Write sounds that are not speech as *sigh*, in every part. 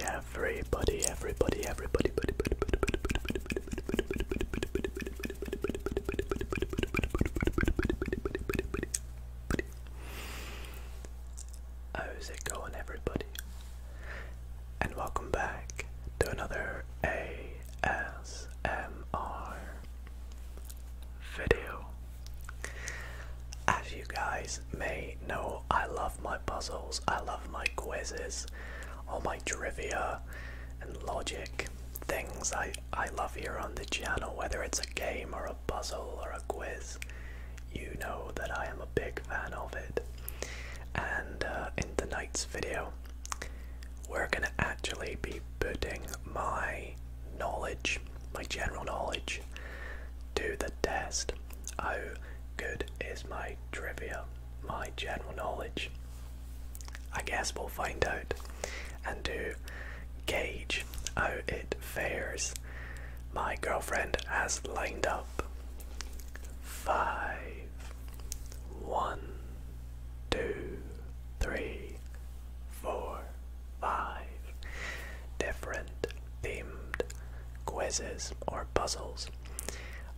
everybody, everybody, everybody, everybody, How's it going, everybody? and welcome back to another ASMR video. As you guys may know, I love my puzzles, I love my quizzes, all my trivia and logic things I, I love here on the channel, whether it's a game or a puzzle or a quiz you know that I am a big fan of it. And uh, in tonight's video, we're gonna actually be putting my knowledge, my general knowledge, to the test. How good is my trivia, my general knowledge? I guess we'll find out and do gauge how it fares my girlfriend has lined up. Five, one, two, three, four, five different themed quizzes or puzzles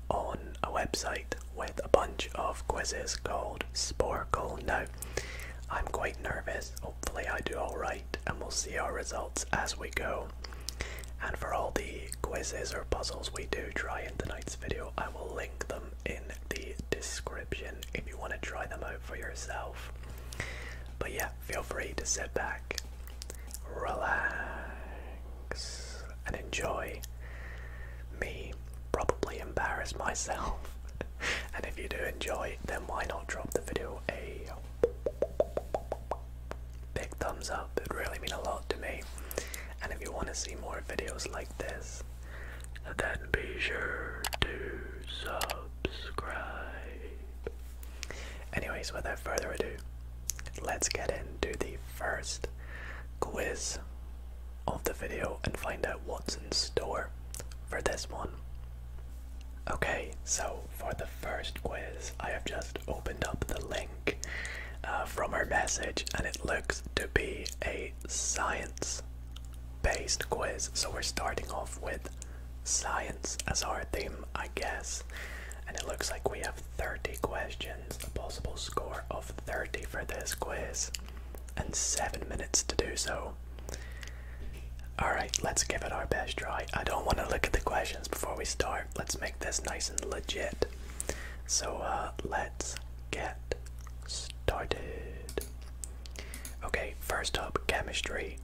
on a website with a bunch of quizzes called Sporkle. Now, I'm quite nervous. Hopefully, I do alright, and we'll see our results as we go. And for all the quizzes or puzzles we do try in tonight's video, I will link them in the description if you want to try them out for yourself. But yeah, feel free to sit back, relax, and enjoy me probably embarrass myself. *laughs* and if you do enjoy, then why not drop the video a Big thumbs up, it would really mean a lot to me. And if you want to see more videos like this, then be sure to subscribe. Anyways, without further ado, let's get into the first quiz of the video and find out what's in store for this one. Okay, so for the first quiz, I have just opened up the link uh, from her message, and it looks to be a science based quiz. So we're starting off with science as our theme, I guess. And it looks like we have 30 questions, a possible score of 30 for this quiz, and 7 minutes to do so. Alright, let's give it our best try. I don't want to look at the questions before we start. Let's make this nice and legit. So, uh, let's get started. Okay, first up, chemistry.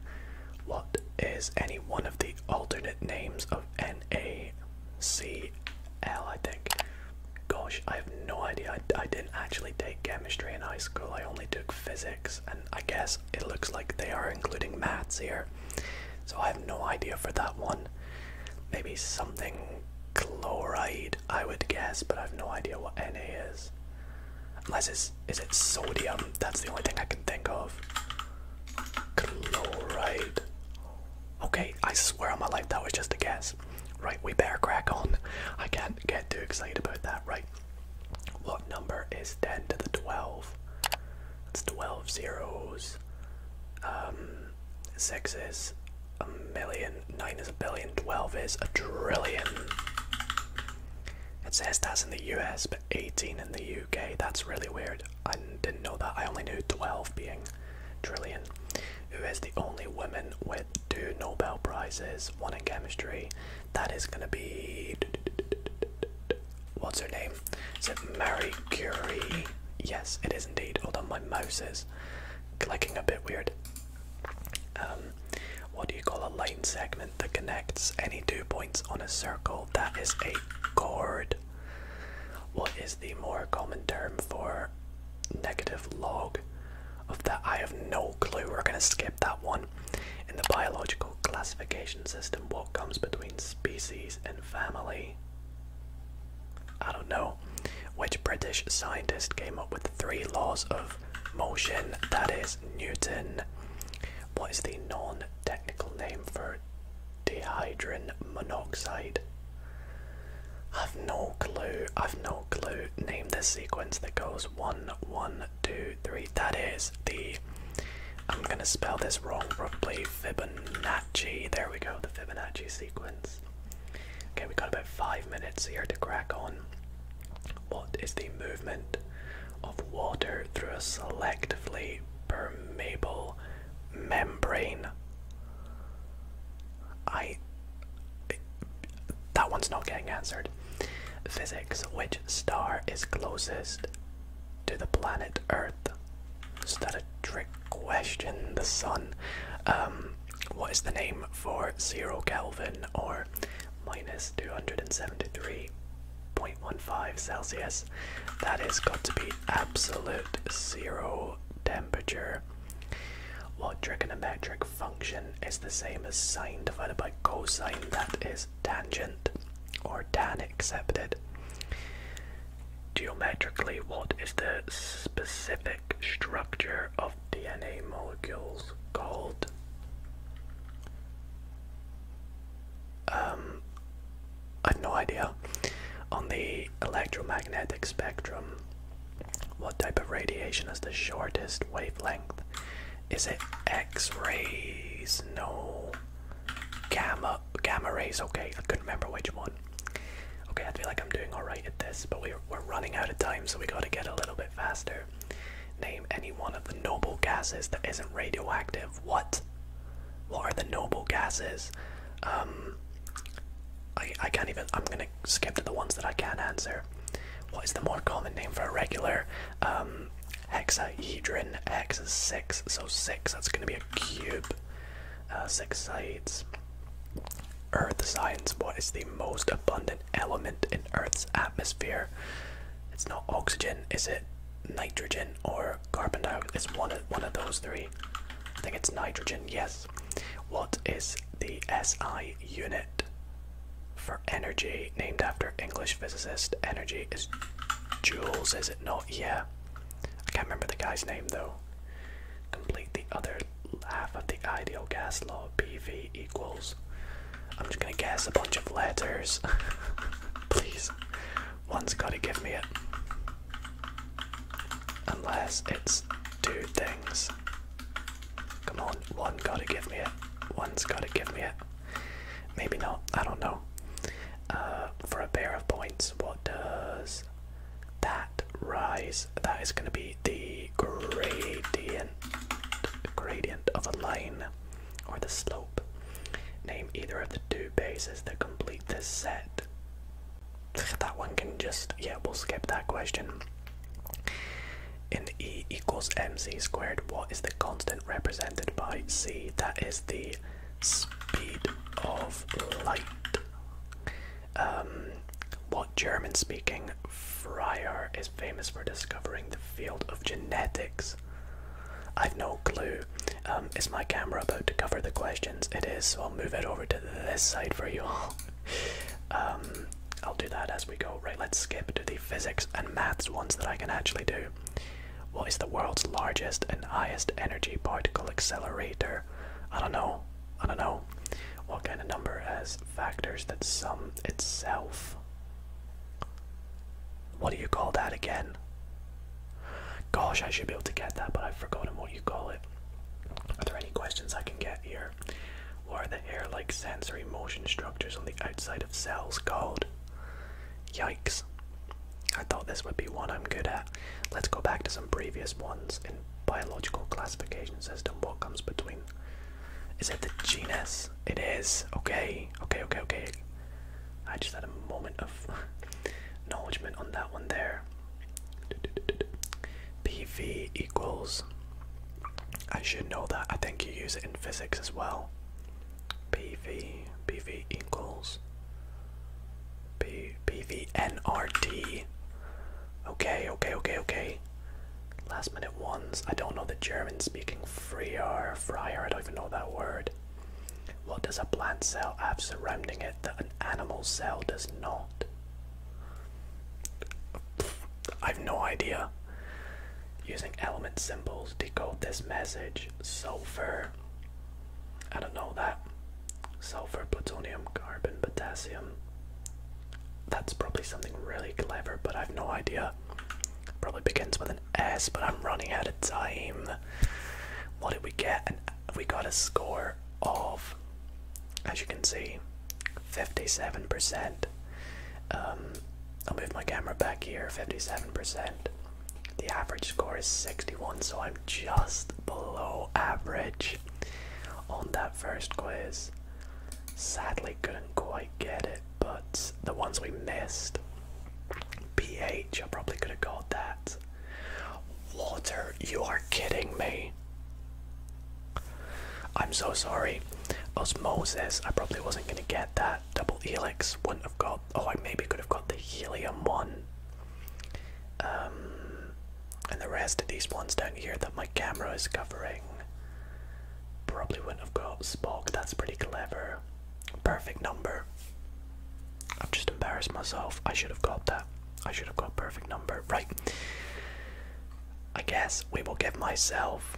What is any one of the alternate names of NaCl, I think? Gosh, I have no idea. I, I didn't actually take chemistry in high school, I only took physics and I guess it looks like they are including mats here. So I have no idea for that one. Maybe something chloride, I would guess, but I have no idea what Na is. Unless it's is it sodium? That's the only thing I can think of. Chloride. Okay, I swear on my life that was just a guess. Right, we better crack on. I can't get too excited about that. Right, what number is 10 to the 12? That's 12 zeros. Um, 6 is a million, 9 is a billion, 12 is a trillion. It says that's in the US, but 18 in the UK. That's really weird. I didn't know that. I only knew 12 being trillion. Who is the only woman with two Nobel Prizes, one in chemistry that is gonna be what's her name? Is it Mary Curie? Yes, it is indeed. Although my mouse is clicking a bit weird. Um, what do you call a line segment that connects any two points on a circle? That is a chord. What is the more common term for negative log of that? I have no clue. We're gonna skip that one. In the biological classification system, what comes between species and family? I don't know. Which British scientist came up with three laws of motion? That is Newton. What is the non technical name for dehydrogen monoxide? I've no clue. I've no clue. Name the sequence that goes 1, 1, 2, that is the. I'm gonna spell this wrong probably. Fibonacci. There we go. The Fibonacci sequence. Okay, we have got about five minutes here to crack on. What is the movement of water through a selectively permeable membrane? I. That one's not getting answered. Physics. Which star is closest to the planet Earth? Is that a trick question? The sun. Um, what is the name for zero Kelvin or minus 273.15 Celsius? That is got to be absolute zero temperature. What trigonometric function is the same as sine divided by cosine? That is tangent or tan accepted. Geometrically, what is the specific structure of DNA molecules called? Um, I've no idea. On the electromagnetic spectrum, what type of radiation is the shortest wavelength? Is it X rays? No. Gamma gamma rays. Okay, I couldn't remember which one. Okay, I feel like I'm doing all right at this, but we're we're running out of time, so we got to get a little bit faster. Name any one of the noble gases that isn't radioactive. What? What are the noble gases? Um, I I can't even. I'm gonna skip to the ones that I can not answer. What is the more common name for a regular um, hexahedron. X is six, so six. That's gonna be a cube. Uh, six sides. Earth science. What is the most abundant element in Earth's atmosphere? It's not oxygen, is it? Nitrogen or carbon dioxide? It's one of one of those three. I think it's nitrogen. Yes. What is the SI unit? for energy, named after English physicist. Energy is joules, is it not? Yeah. I can't remember the guy's name though. Complete the other half of the ideal gas law. PV equals. I'm just gonna guess a bunch of letters. *laughs* Please. One's gotta give me it. Unless it's two things. Come on, one gotta give me it. One's gotta give me it. Maybe not. I don't know. Uh, for a pair of points, what does that rise? That is going to be the gradient, gradient of a line, or the slope. Name either of the two bases to complete this set. That one can just yeah, we'll skip that question. In E equals mc squared, what is the constant represented by c? That is the speed of light. Um, what German speaking Friar is famous for discovering the field of genetics? I've no clue. Um, is my camera about to cover the questions? It is, so I'll move it over to this side for you all. *laughs* um, I'll do that as we go. Right, let's skip to the physics and maths ones that I can actually do. What is the world's largest and highest energy particle accelerator? I don't know. I don't know. What kind of number has factors that sum itself? What do you call that again? Gosh, I should be able to get that, but I've forgotten what you call it. Are there any questions I can get here? What are the air like sensory motion structures on the outside of cells called? Yikes. I thought this would be one I'm good at. Let's go back to some previous ones in biological classification system. What comes between? Is it the genus? It is. Okay, okay, okay, okay. I just had a moment of *laughs* acknowledgement on that one there. PV equals. I should know that. I think you use it in physics as well. PV, PV equals P, PVNRT. Okay, okay, okay, okay. Last minute ones. I don't know the German speaking Freer, Friar, I don't even know that word. What does a plant cell have surrounding it that an animal cell does not? I've no idea using element symbols, decode this message. Sulfur. I don't know that. Sulfur, plutonium, carbon, potassium. That's probably something really clever, but I've no idea. Probably begins with an S, but I'm running out of time. What did we get? we got a score of, as you can see, 57%. I'll move my camera back here, 57%. The average score is 61, so I'm just below average on that first quiz. Sadly, couldn't quite get it, but the ones we missed pH, I probably could have got that. Water, you are kidding me. I'm so sorry. Osmosis, I probably wasn't going to get that double helix wouldn't have got. Oh, I maybe could have got the helium one. Um, and the rest of these ones don't hear that my camera is covering probably wouldn't have got Spock. That's pretty clever. Perfect number. i am just embarrassed myself. I should have got that. I should have got perfect number. Right. I guess we will give myself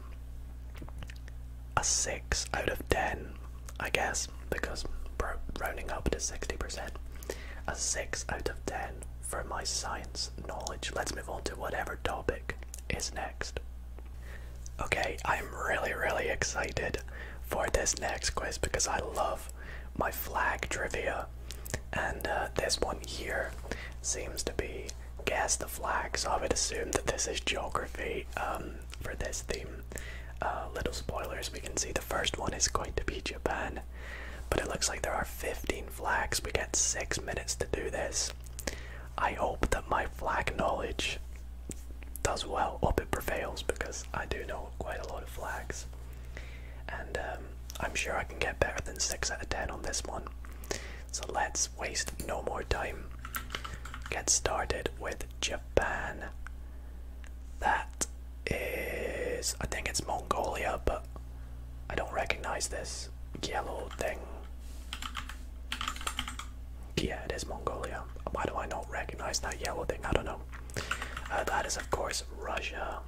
a 6 out of 10, I guess, because rounding up to 60%. A 6 out of 10 for my science knowledge. Let's move on to whatever topic is next. Okay, I'm really, really excited for this next quiz because I love my flag trivia. And uh, this one here seems to be guess the flag, so I would assume that this is geography um, for this theme. Uh, little spoilers, we can see the first one is going to be Japan, but it looks like there are 15 flags. We get six minutes to do this. I hope that my flag knowledge does well, hope it prevails, because I do know quite a lot of flags. And um, I'm sure I can get better than 6 out of 10 on this one. So let's waste no more time. Get started with Japan. That is. I think it's Mongolia, but I don't recognize this yellow thing. Yeah, it is Mongolia. Why do I not recognize that yellow thing? I don't know. Uh, that is, of course, Russia.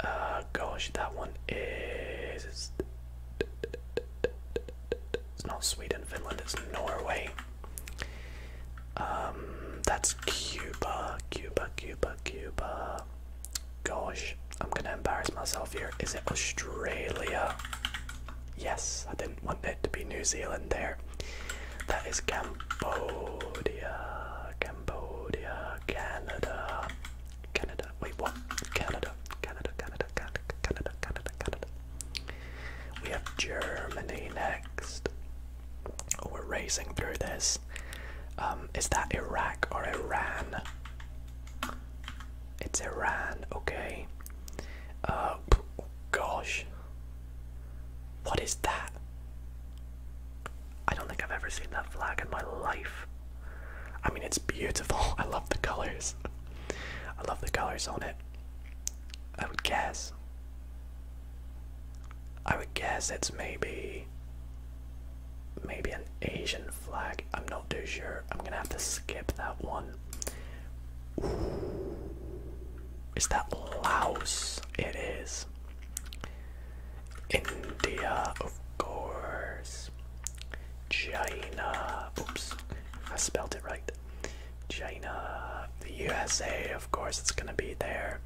Uh, gosh, that one is it's not Sweden, Finland, it's Norway. Um, that's Cuba, Cuba, Cuba, Cuba. Gosh, I'm gonna embarrass myself here. Is it Australia? Yes, I didn't want it to be New Zealand there. That is Cambodia, Cambodia, Canada. Canada. Wait, what? Canada. Canada, Canada, Canada, Canada, Canada, Canada. We have Germany next. Oh, we're racing through this. Um, is that Iraq or Iran? It's Iran, okay. Uh, gosh. What is that? I don't think I've ever seen that flag in my life. I mean, it's beautiful. *laughs* I love the colors. I love the colors on it. I would guess. I would guess it's maybe. Maybe an Asian flag. I'm not too sure. I'm gonna have to skip that one. Ooh. Is that Laos? It is. India, of course. China. Oops, I spelled it right. China, the USA, of course, it's gonna be there.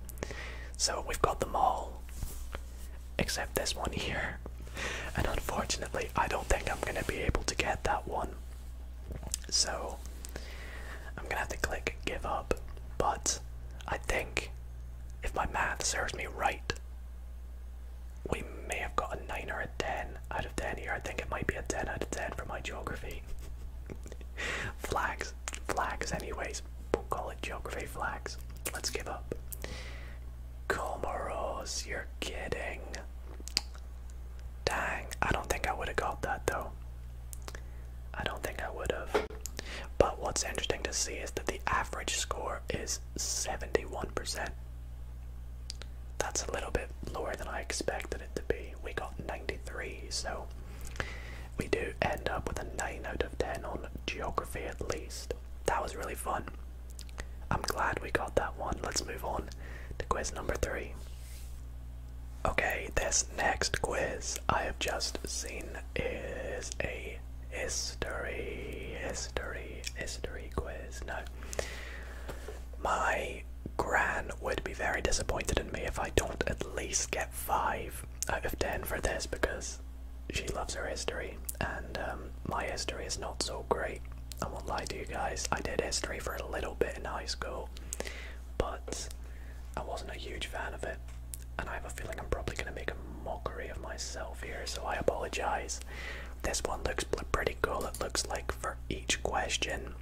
So we've got them all, except this one here. And unfortunately, I don't think I'm gonna be able to get that one. So I'm gonna have to click give up. But I think if my math serves me right, we may have got a 9 or a 10 out of 10 here. I think it might be a 10 out of 10 for my geography. *laughs* flags. Flags, anyways. We'll call it geography flags. Let's give up. Comoros, you're kidding. Dang, I don't think I would have got that though. I don't think I would have. But what's interesting to see is that the average score is 71%. That's a little bit lower than I expected it to be. We got 93, so we do end up with a 9 out of 10 on geography at least. That was really fun. I'm glad we got that one. Let's move on to quiz number 3. Okay, this next quiz I have just seen is a history, history, history, quiz. No. My gran would be very disappointed in me if I don't at least get 5 out of 10 for this because she loves her history and um, my history is not so great. I won't lie to you guys, I did history for a little bit in high school, but I wasn't a huge fan of it. And I have a feeling I'm probably going to make a mockery of myself here, so I apologize this. one looks pretty cool, it looks like for each question,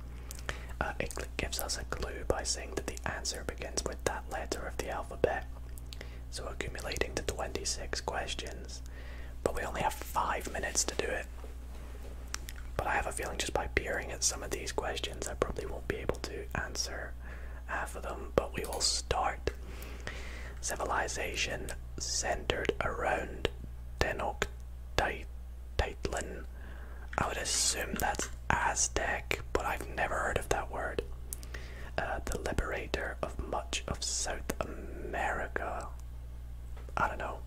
uh, it gives us a clue by saying that the answer begins with that letter of the alphabet. So, accumulating the 26 questions, but we only have five minutes to do it. But I have a feeling just by peering at some of these questions, I probably won't be able to answer half of them. But we will start Civilization centered around Tenochtitlan. I would assume that's Aztec, but I've never heard of that word. Uh, the liberator of much of South America. I don't know.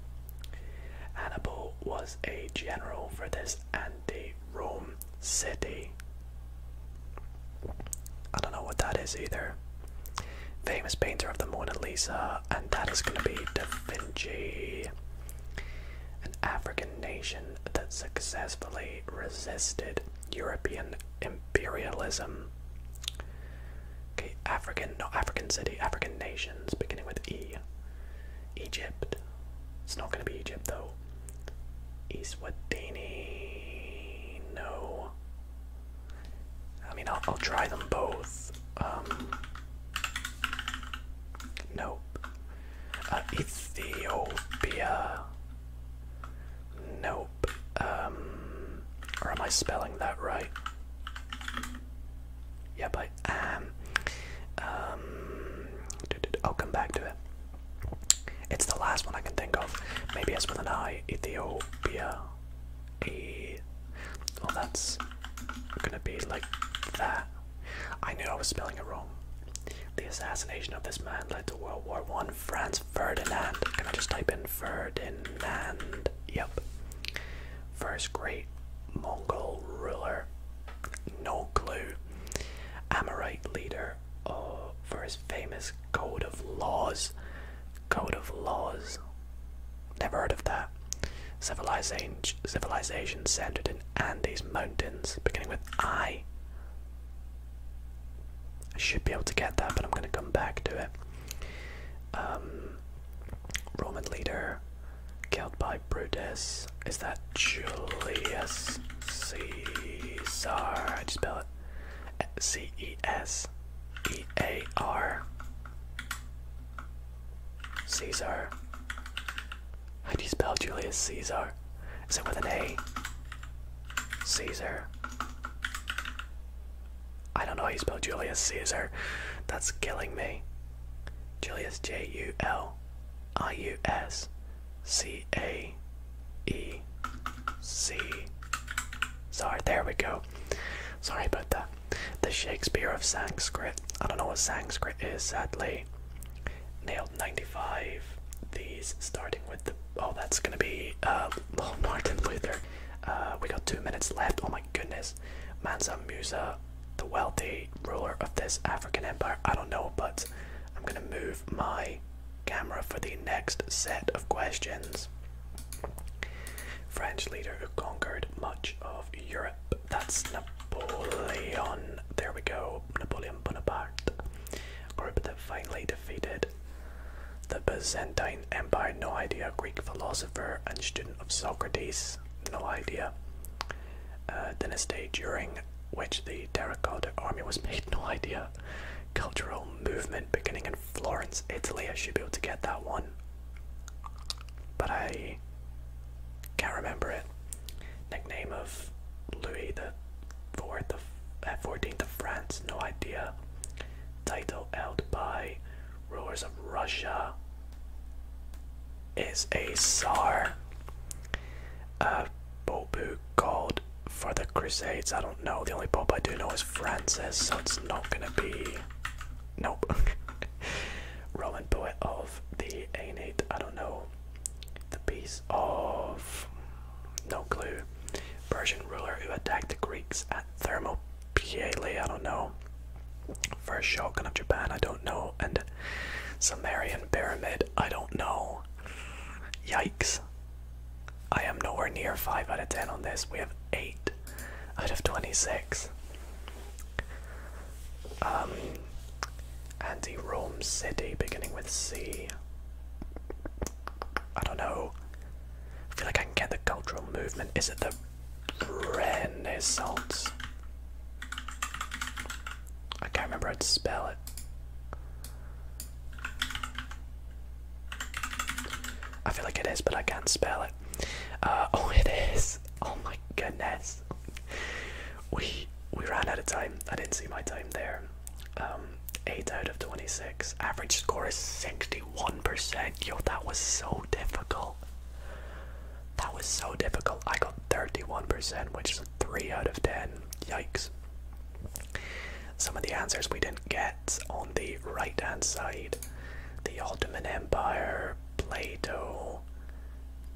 Hannibal was a general for this anti Rome city. I don't know what that is either. Famous painter of the Mona Lisa, and that is going to be Da Vinci. An African nation that successfully resisted European imperialism. Okay, African, no, African city, African nations, beginning with E. Egypt. It's not going to be Egypt though. Eswatini. No. I mean, I'll, try them both. Um, nope. Uh, Ethiopia. Nope. Um, or am I spelling that right? Yeah, but um, um, I'll come back to it. It's the last one I can think of. Maybe it's with an I. Ethiopia. Oh, that's gonna be like that. I knew I was spelling it wrong. The assassination of this man led to World War One. Franz Ferdinand. Can I just type in Ferdinand? Yep. First great Mongol ruler. No clue. Amorite leader uh, for his famous code of laws. Code of Laws. Never heard of that. Civilization, civilization centered in Andes Mountains, beginning with I. I should be able to get that, but I'm going to come back to it. Um, Roman leader killed by Brutus. Is that Julius Caesar? I just you spell it? C E S E A R Caesar. How do you spell Julius Caesar? Is it with an A? Caesar. I don't know how you spell Julius Caesar. That's killing me. Julius J U L I U S C A C E C. Sorry, there we go. Sorry about that. The Shakespeare of Sanskrit. I don't know what Sanskrit is, sadly. Nailed 95. These starting with the. Oh, that's gonna be uh, Martin Luther. Uh, we got two minutes left. Oh my goodness. Mansa Musa, the wealthy ruler of this African empire. I don't know, but I'm gonna move my camera for the next set of questions. French leader who conquered much of Europe. That's Napoleon. There we go. Napoleon Bonaparte. Group that finally defeated the Byzantine Empire. No idea. Greek philosopher and student of Socrates. No idea. Uh, dynasty during which the terracotta army was made. *laughs* No idea cultural movement beginning in Florence, Italy. I should be able to get that one. But I can't remember it. Nickname of Louis the of 14th uh, of France, no idea. Title held by rulers of Russia is a Tsar. Uh, Bobu called for the Crusades. I don't know. The only Pope I do know is Francis, so it's not gonna be. Nope. *laughs* Roman poet of the Aeneid. I don't know. The piece of. No clue. Persian ruler who attacked the Greeks at Thermopylae. I don't know. First shotgun of Japan. I don't know. And Sumerian pyramid. I don't know. Yikes. I am nowhere near 5 out of 10 on this. We have 8 out of 26. Um, anti Rome City beginning with C. I don't know. I feel like I can get the cultural movement. Is it the Renaissance? I can't remember how to spell it. I feel like it is, but I can't spell it. Uh, oh, it is. Oh my goodness. We we ran out of time. I didn't see my time there. Um, eight out of twenty-six. Average score is sixty-one percent. Yo, that was so difficult. That was so difficult. I got thirty-one percent, which is three out of ten. Yikes. Some of the answers we didn't get on the right hand side the Ottoman Empire, Plato,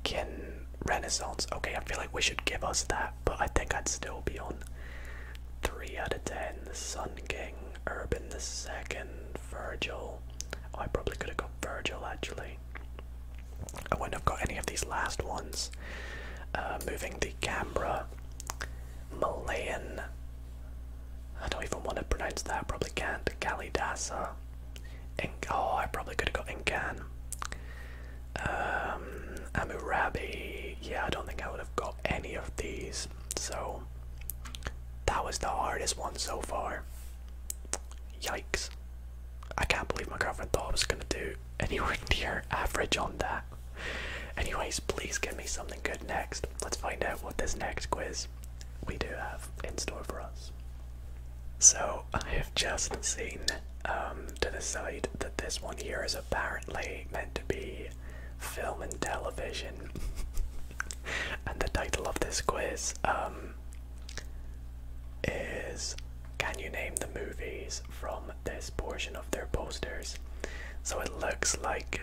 King Renaissance. Okay, I feel like we should give us that, but I think I'd still be on 3 out of 10. The Sun King, Urban II, Virgil. Oh, I probably could have got Virgil actually. I wouldn't have got any of these last ones. Uh, moving the camera. Malayan. I don't even want to pronounce that, I probably can't. Kalidasa. Ink oh, I probably could have got Incan. Um, Amurabi. Yeah, I don't think I would have got any of these. So, that was the hardest one so far. Yikes. I can't believe my girlfriend thought I was going to do anywhere near average on that. Anyways, please give me something good next. Let's find out what this next quiz we do have in store for us. So, I have just seen um, to the side that this one here is apparently meant to be film and television. *laughs* and the title of this quiz um, is Can you name the movies from this portion of their posters. So it looks like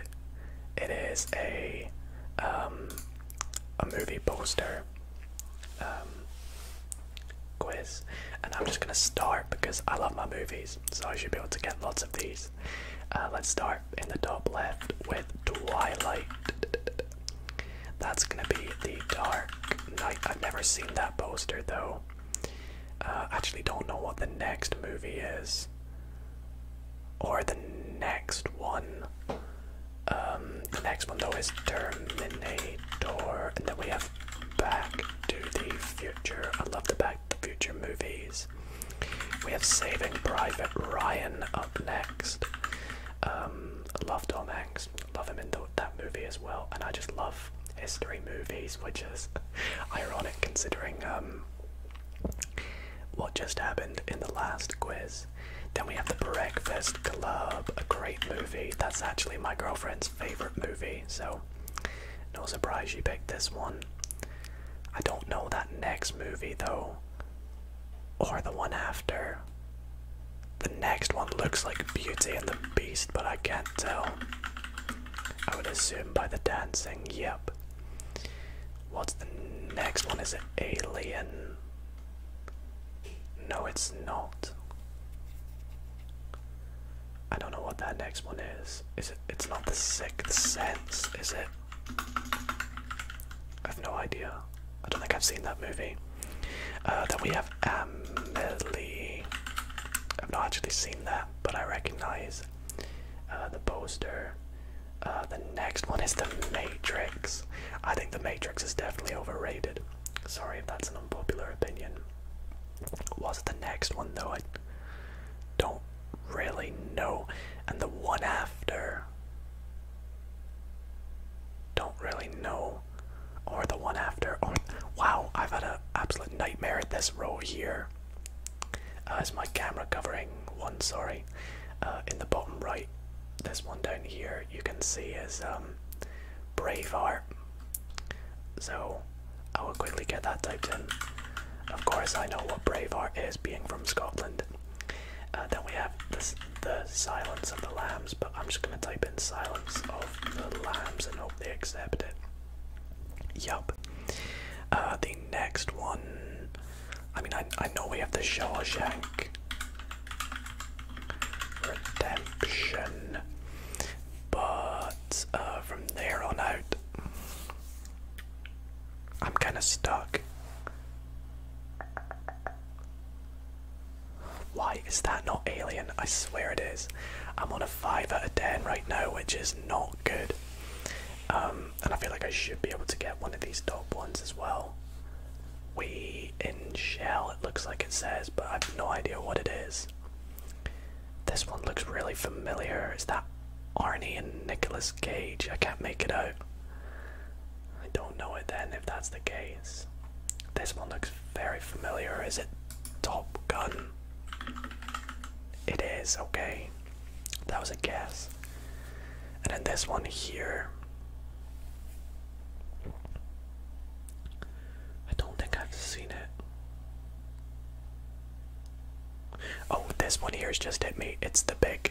it is a um, a movie poster um, quiz, and I'm just gonna start because I love my movies, so I should be able to get lots of these. Uh, let's start in the top left with Twilight. That's gonna be the Dark night. I've never seen that poster though. Uh, actually, don't know what the next movie is, or the next one. Um, the next one though is Terminator, and then we have Back to the Future. I love the Back to the Future movies. We have Saving Private Ryan up next. Um, love Tom Hanks. Love him in that movie as well, and I just love history movies, which is *laughs* ironic considering um, what just happened in the last quiz. Then we have The Breakfast Club, a great movie. That's actually my girlfriend's favorite movie, so no surprise she picked this one. I don't know that next movie though, or the one after. The next one looks like Beauty and the Beast, but I can't tell. I would assume by the dancing, yep. What's the next one? Is it Alien? No, it's not. I don't know what that next one is. Is it? It's not the Sixth Sense, is it? I have no idea. I don't think I've seen that movie. Uh, then we have Amelie. I've not actually seen that but I recognize uh, the poster. Uh, the next one is The Matrix. I think The Matrix is definitely overrated. Sorry if that's an unpopular opinion. Was it the next one though? I don't really know. And the one after. Don't really know. Or the one after. wow, I've had an absolute nightmare at this row here cover. Uh, my camera covering one? Sorry. Uh, in the bottom right, this one down here, you can see is um, Braveheart. So I will quickly get that typed in. Of course, I know what Braveheart is, being from Scotland. Uh, then we have the Silence of the Lambs, but I'm just going to type in Silence of the Lambs and hope they accept it. Yup. Uh, the next one. I mean, I, I know we have the Shawshank Redemption, but uh, from there on out, I'm kind of stuck. Why is that not alien? I swear it is. I'm on a 5 out of 10 right now, which is not good. Um, and I feel like I should be able to get one of these top ones as well. We in shell, it looks like it says, but I've no idea what it is. This one looks really familiar. Is that Arnie and Nicolas Cage? I can't make it out. I don't know it then if that's the case. This one looks very familiar. Is it Top Gun? It is, okay. That was a guess. And then this one here. I don't think I've seen it. Oh, this one here's just hit me. It's the big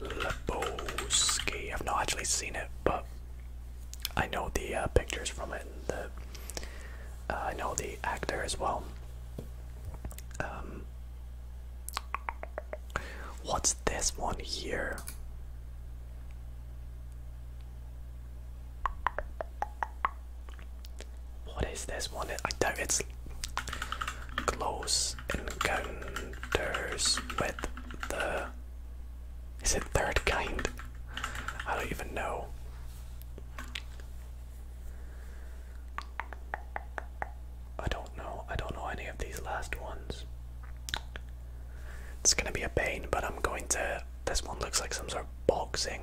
Lebowski. I've not actually seen it, but I know the uh, pictures from it. Uh, I know the actor as well. Um, what's this one here? What is this one? I think It's close encounters with the. Is it third kind? I don't even know. I don't know. I don't know any of these last ones. It's gonna be a pain, but I'm going to. This one looks like some sort of boxing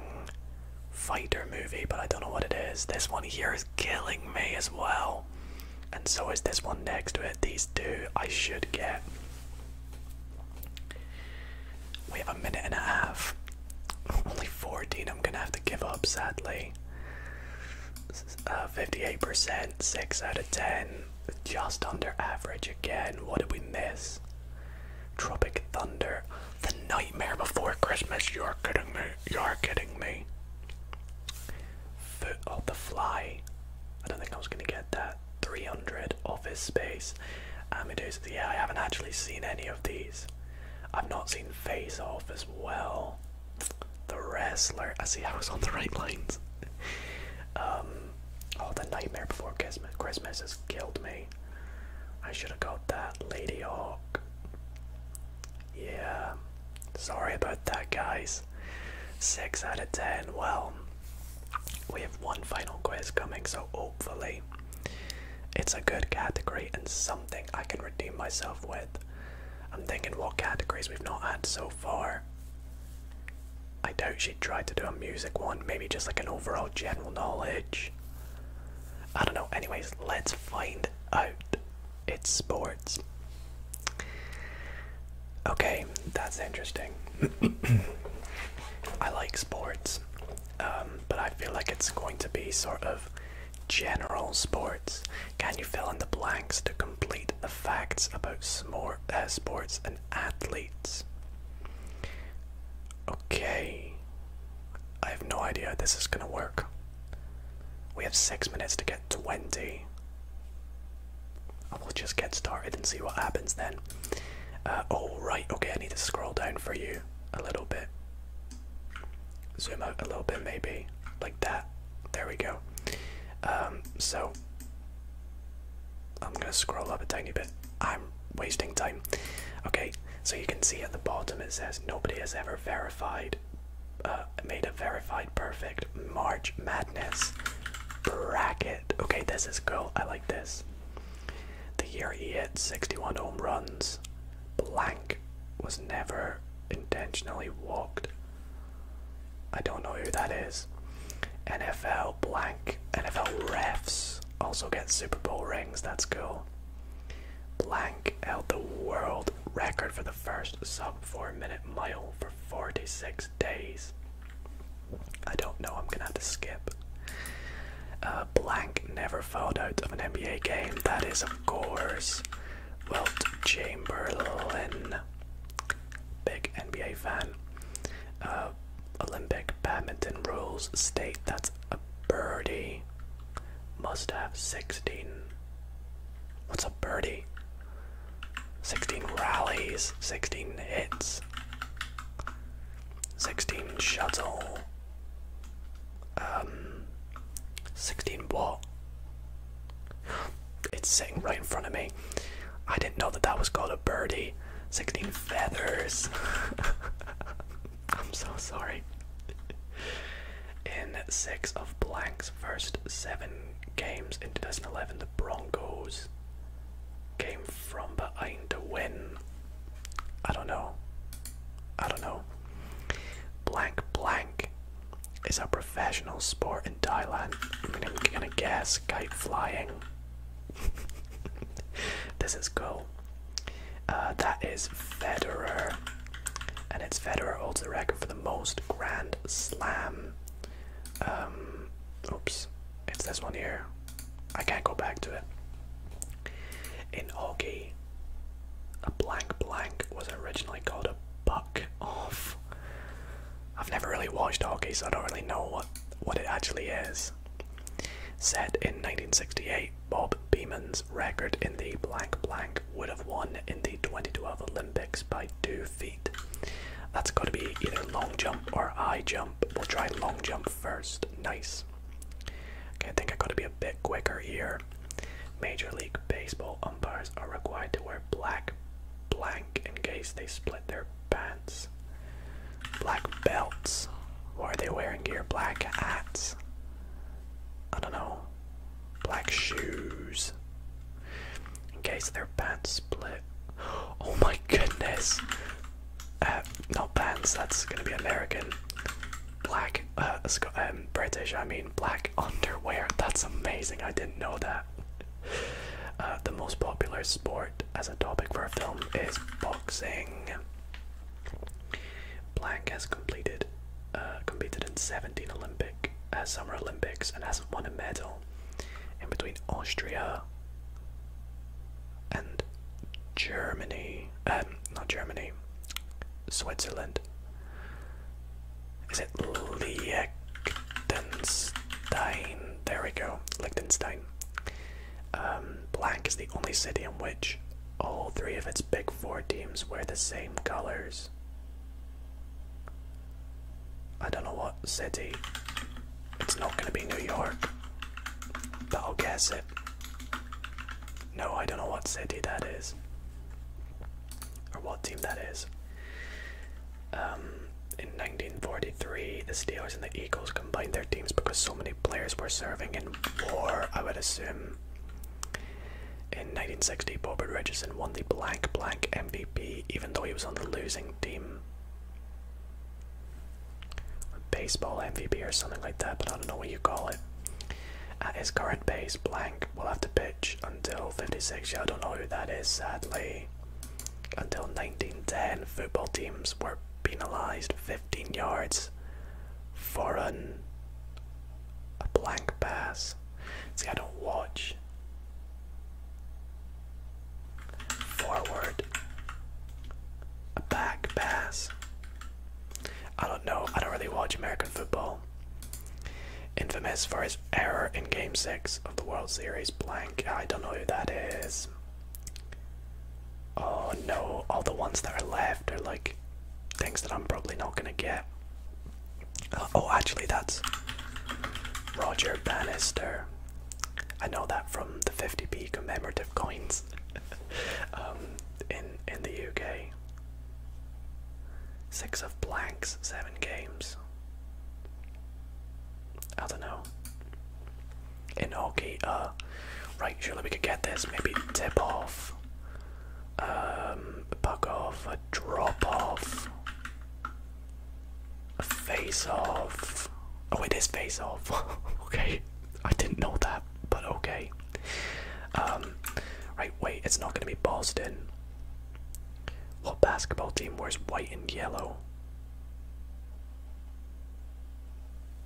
fighter movie, but I don't know what it is. This one here is killing me as well. And so is this one next to it. These two I should get. We have a minute and a half. Only 14. I'm gonna have to give up, sadly. Uh, 58%, 6 out of 10. Just under average again. What did we miss? Tropic Thunder. The Nightmare Before Christmas. You're kidding me. You're kidding me. Foot of oh, the Fly. I don't think I was gonna get that. 300 Office Space, Amadeus. Um, yeah, I haven't actually seen any of these. I've not seen Face Off as well. The Wrestler. I see I was on the right lines. um, oh, The Nightmare Before Christmas has killed me. I should have got that. Lady Hawk. Yeah. Sorry about that, guys. 6 out of 10. Well, we have one final quiz coming, so hopefully it's a good category and something I can redeem myself with. I'm thinking what categories we've not had so far. I doubt she'd try to do a music one, maybe just like an overall general knowledge. I don't know, anyways, let's find out. It's sports. Okay, that's interesting. *coughs* I like sports. Um, but I feel like it's going to be sort of general sports. Can you fill in the blanks to complete the facts about smor uh, sports and athletes? Okay, I have no idea how this is gonna work. We have six minutes to get 20. I will just get started and see what happens then it. Uh, oh, right, okay, I need to scroll down for you a little bit. Zoom out a little bit, maybe. Like that. There we go. Um, so, I'm gonna scroll up a tiny bit. I'm wasting time. Okay, so you can see at the bottom it says nobody has ever verified, uh, made a verified perfect March Madness bracket. Okay, this is cool. I like this. The year he hit 61 home runs, blank was never intentionally walked. I don't know who that is. NFL blank, NFL refs also get Super Bowl rings, that's cool. Blank held the world record for the first sub 4 minute mile for 46 days. I don't know. I'm gonna have to skip. Uh, blank never fouled out of an NBA game. That is, of course, Wilt Chamberlain. Big NBA fan. Uh, Olympic badminton rules state that's a birdie. Must have 16. What's a birdie? 16 rallies, 16 hits. 16 shuttle, um, 16 what? It's sitting right in front of me. I didn't know that that was called a birdie. 16 feathers. *laughs* I'm so sorry. In six of Blank's first seven games in 2011, the Broncos came from behind to win. I don't know. I don't know. Blank blank is a professional sport in Thailand. I am gonna guess kite flying. *laughs* this is cool. Uh, that is Federer, and it's Federer holds the record for the most Grand Slam. Um, oops, it's this one here. I can't go back to it. In hockey, a blank blank was originally called a buck off. I've never really watched hockey, so I don't really know what, what it actually is. Said in 1968, Bob Beeman's record in the blank blank would have won in the 2012 Olympics by two feet. That's got to be either long jump or high jump. We'll try long jump first. Nice. Okay, I think I gotta be a bit quicker here. Major League Baseball umpires are required to wear black blank in case they split their pants. Black belts. are they wearing gear? Black hats. I don't know. Black shoes. In case their pants split. *gasps* Oh my goodness. Uh, not bands, that's gonna be American. Black, uh, um, British, I mean, black *laughs* underwear. That's amazing, I didn't know that. Uh, the most popular sport as a topic for a film is boxing. Blank has completed, uh, competed in 17 Olympic, Summer Olympics and hasn't won a medal. In between Austria and Germany. Um, not Germany. Switzerland. Is it Liechtenstein? There we go, Liechtenstein. Um, black is the only city in which all three of its big four teams wear the same colors. I don't know what city it's not gonna be New York, but I'll guess it. No, I don't know what city that is, or what team that is. Um, in 1943, the Steelers and the Eagles combined their teams because so many players were serving in war, I would assume. In 1960, Bobby Richardson won the blank blank MVP even though he was on the losing team baseball MVP or something like that, but I don't know what you call it. his current base blank will have to pitch until 56. Yeah, I don't know who that is, sadly. Until 1910, football teams were penalized 15 yards for an, a blank pass. See, I don't watch Forward. A back pass. I don't know. I don't really watch American football. Infamous for his error in Game 6 of the World Series blank. I don't know who that is. Oh no, all the ones that are left are like things that I'm probably not gonna get. oh, actually, that's Roger Bannister. I know that from the 50p commemorative coins *laughs* um, in in the UK. Six of blanks, seven games. I don't know. In hockey, uh, right, surely we could get this. Maybe tip off, um, puck off, a drop off. Face off. Oh, it is face off. *laughs* okay, I didn't know that, but okay. Um, right, wait, it's not going to be Boston. What basketball team wears white and yellow?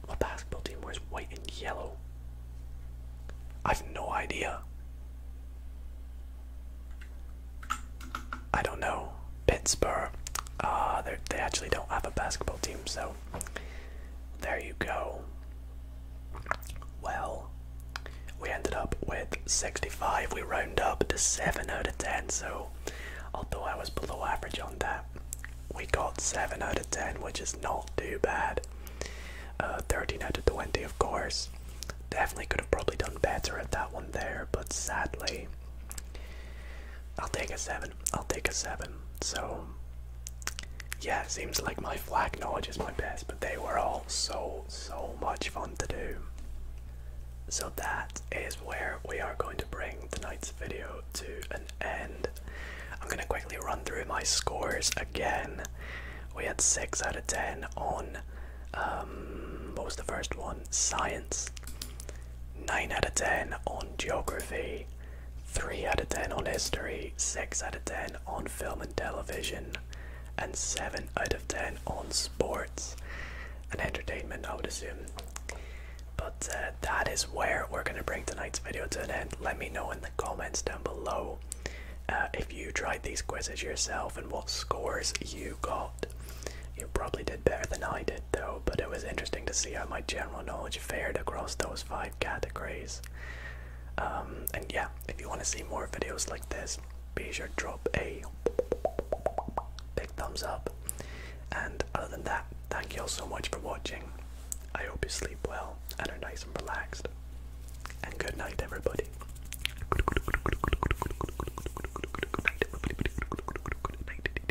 What basketball team wears white and yellow? I've no idea. I don't know. Pittsburgh. Uh, they actually don't have a basketball team, so there you go. Well, we ended up with 65. We rounded up to 7 out of 10, so although I was below average on that, we got 7 out of 10, which is not too bad. Uh, 13 out of 20, of course. Definitely could have probably done better at that one there, but sadly, I'll take a seven. I'll take a seven. So yeah, seems like my flag knowledge is my best, but they were all so so much fun to do. So that is where we are going to bring tonight's video to an end. I'm gonna quickly run through my scores again. We had six out of ten on um, what was the first one? Science. 9 out of 10 on geography, 3 out of 10 on history, 6 out of 10 on film and television, and 7 out of 10 on sports and entertainment, I would assume. But uh, that is where we're going to bring tonight's video to an end. Let me know in the comments down below uh, if you tried these quizzes yourself and what scores you got. You probably did better than I did, though, but it was interesting to see how my general knowledge fared across those five categories. Um, and yeah, if you want to see more videos like this, be sure to drop a big thumbs up. And other than that, thank you all so much for watching. I hope you sleep well and are nice and relaxed. And good night, everybody. Good night, everybody. Good night.